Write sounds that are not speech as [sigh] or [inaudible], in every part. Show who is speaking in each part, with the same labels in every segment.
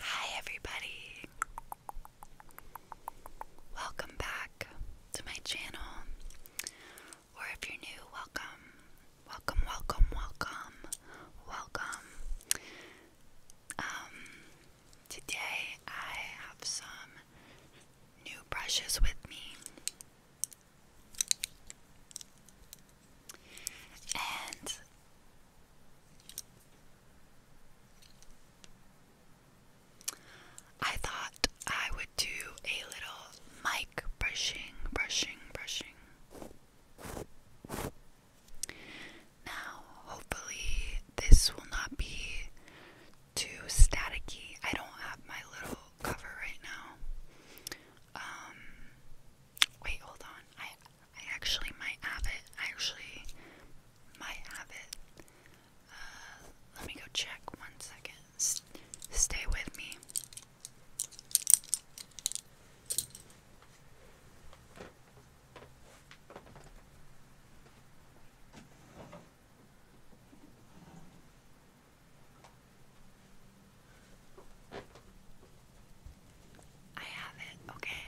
Speaker 1: Hi, everybody! Welcome back to my channel. Or if you're new, welcome. Welcome, welcome, welcome, welcome. Um, today I have some new brushes with me. And I thought I would do a little mic brushing, brushing, brushing. Now, hopefully, this will not be too staticky. I don't have my little cover right now. Um, wait, hold on. I actually might have it. I actually might have it. Uh, let me go check one second. stay with me. I have it, okay?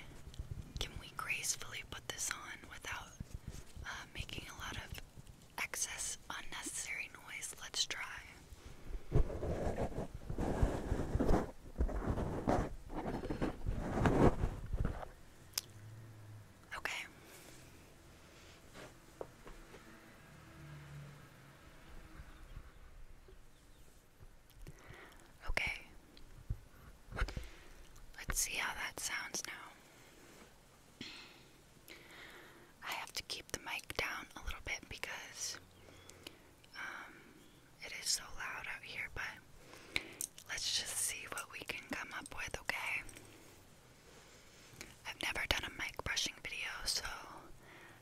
Speaker 1: Can we gracefully put this on without uh, making a lot of excess unnecessary noise? Let's try. Okay. Okay. Let's see how that sounds now. I have to keep the mic down a little bit because um, it is so loud out here, but let's just see what we can come up with, okay? I've never done a mic brushing video, so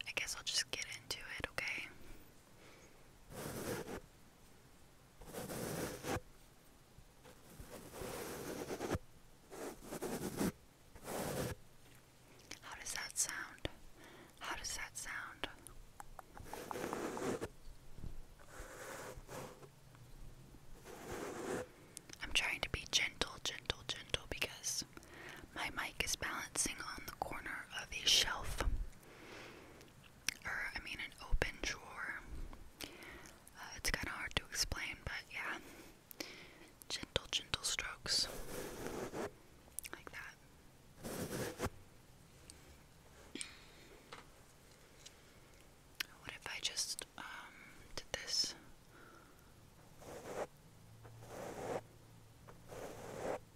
Speaker 1: I guess I'll just get into it, okay? How does that sound? How does that sound? I'm trying to be gentle, gentle, gentle because my mic is balancing on the corner of a shelf, or I mean, an open drawer. Uh, it's kind of hard to explain, but yeah. Gentle, gentle strokes. Like that. What if I just, um, did this?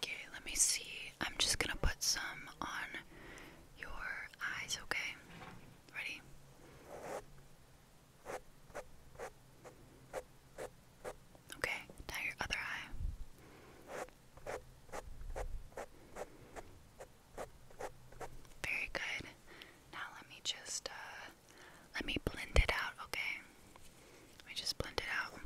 Speaker 1: Okay, let me see. I'm just gonna put some on your eyes, okay? Ready? Okay, now your other eye. Very good. Now let me just uh, let me blend it out, okay? Let me just blend it out.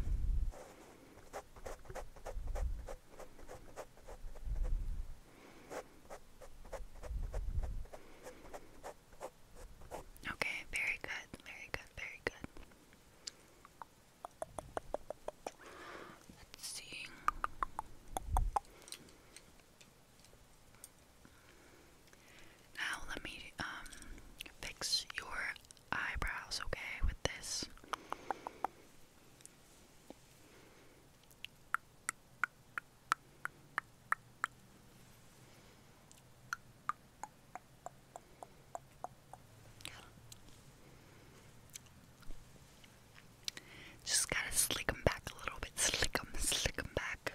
Speaker 1: Okay, very good, very good, very good. Let's see. Now let me um fix your eyebrows, okay, with this. Just gotta 'em back a little bit. Slick 'em, slick 'em back.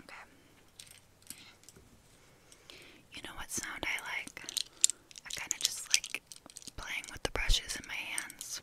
Speaker 1: Okay. You know what sound I like? I kind of just like playing with the brushes in my hands.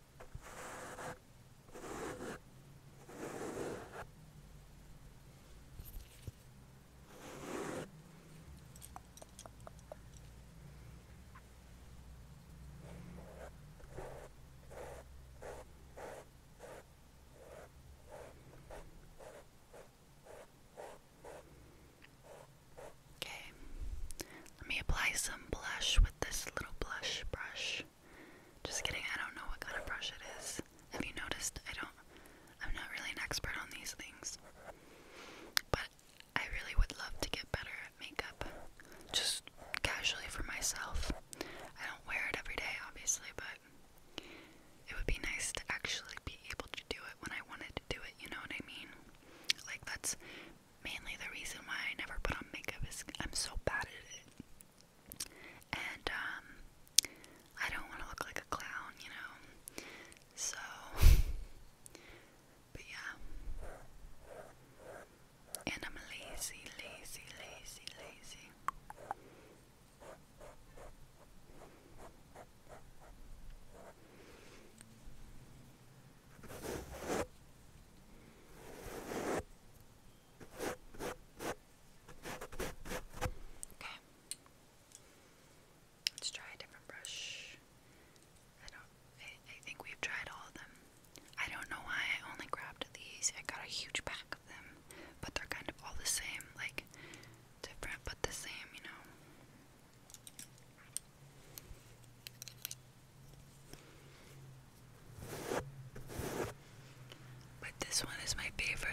Speaker 1: Okay, let me apply some blush with this little blush brush. Just kidding, I don't know what kind of brush it is. Have you noticed? I don't, I'm not really an expert on these things. But I really would love to get better at makeup. Just casually for myself. I don't wear it every day, obviously, but it would be nice to actually be able to do it when I wanted to do it, you know what I mean? Like, that's mainly the reason why I never put on makeup is I'm so bad at it. And um, I don't want to look like a clown, you know. So [laughs] but yeah. And I'm lazy, lazy, lazy, lazy. Okay. Let's try a different brush. I don't I, I think we've tried all of them. I don't know why I only grabbed these. I got a huge pack of them, but they're kind of all the same, like different but the same, you know. But this one is my favorite.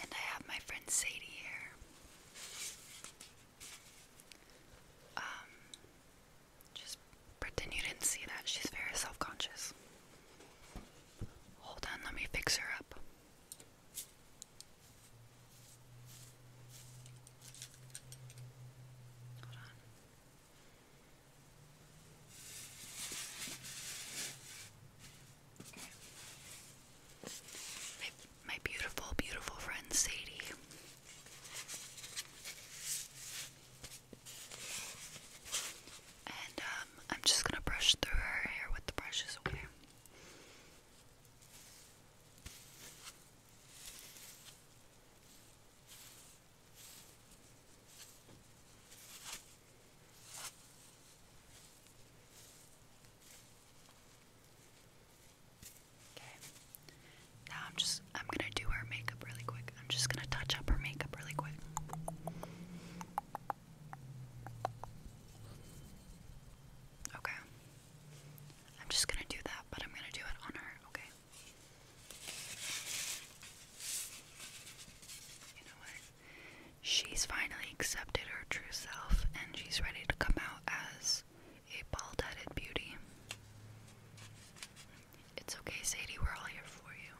Speaker 1: And I have my friend Sadie here. Um, just pretend you didn't see that. She's very self conscious. Hold on, let me fix her up. Hold on. My, beautiful, beautiful friend Sadie. And um, I'm just gonna brush through her hair with the brushes, now I'm just I'm going to do her makeup really quick. I'm just going to touch up her makeup really quick. Okay. I'm just going to do that, but I'm going to do it on her, okay? You know what? She's finally accepted her true self and she's ready to come out as a bald headed beauty. It's okay, Sadie, we're all here for you.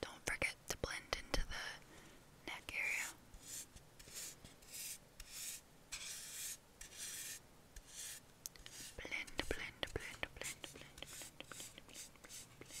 Speaker 1: Don't forget to blend into the neck area. Blend, blend, blend, blend, blend, blend, blend, blend, blend,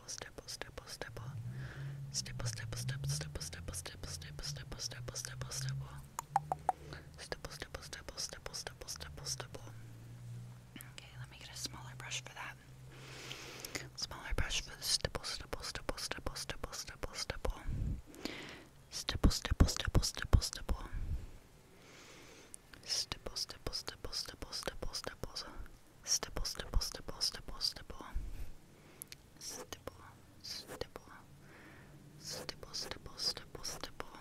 Speaker 1: stipple, stipple, stipple. Stipple, stipple, stipple, stipple, stipple, stipple, stipple, stipple, stipple, stipple, stipple. Stipple, stipple, stipple, stipple, stipple, stipple, stipple. Okay, let me get a smaller brush for that. Smaller brush for the stipple, stipple, stipple, stipple, stipple, stipple, stipple. Stipple, stipple, stipple, stipple, stipple. Stipple, stipple, stipple, stipple, stipple, stipple stipple, stipple, stipple, stipple, stipple, stipple, stipple, stipple, stipple, stipple, stipple,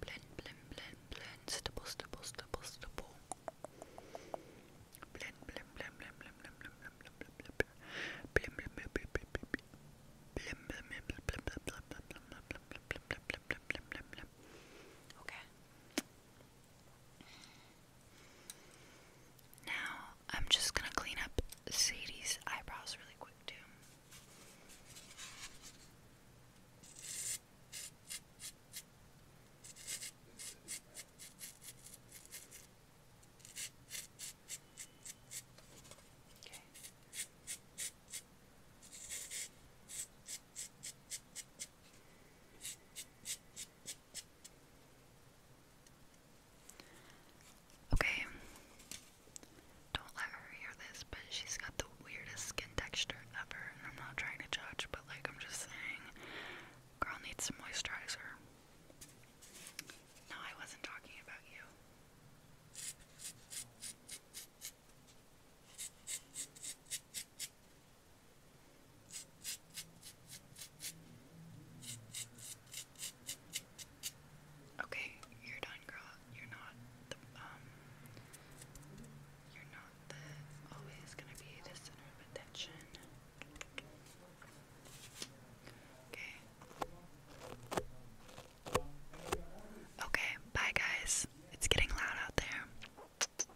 Speaker 1: blend, blend, blend, blend, stipple, stipple, stipple, stipple, blend, blend, blend, blend, blend, blend, blend, blend, blend, blend, blend, blend, blend, blend, blend, blend, Okay. Now, I'm just gonna clean up Sadie's eyebrows really quick, too. Okay. Okay. Don't let her hear this, but she's got the weirdest skin texture ever, and I'm not trying to judge, but like I'm just saying, girl needs some moisturizer. No, I wasn't talking about you. Okay, you're done, girl. You're not the um you're not the always gonna be the center of attention. Okay. Okay, bye guys. It's getting loud out there.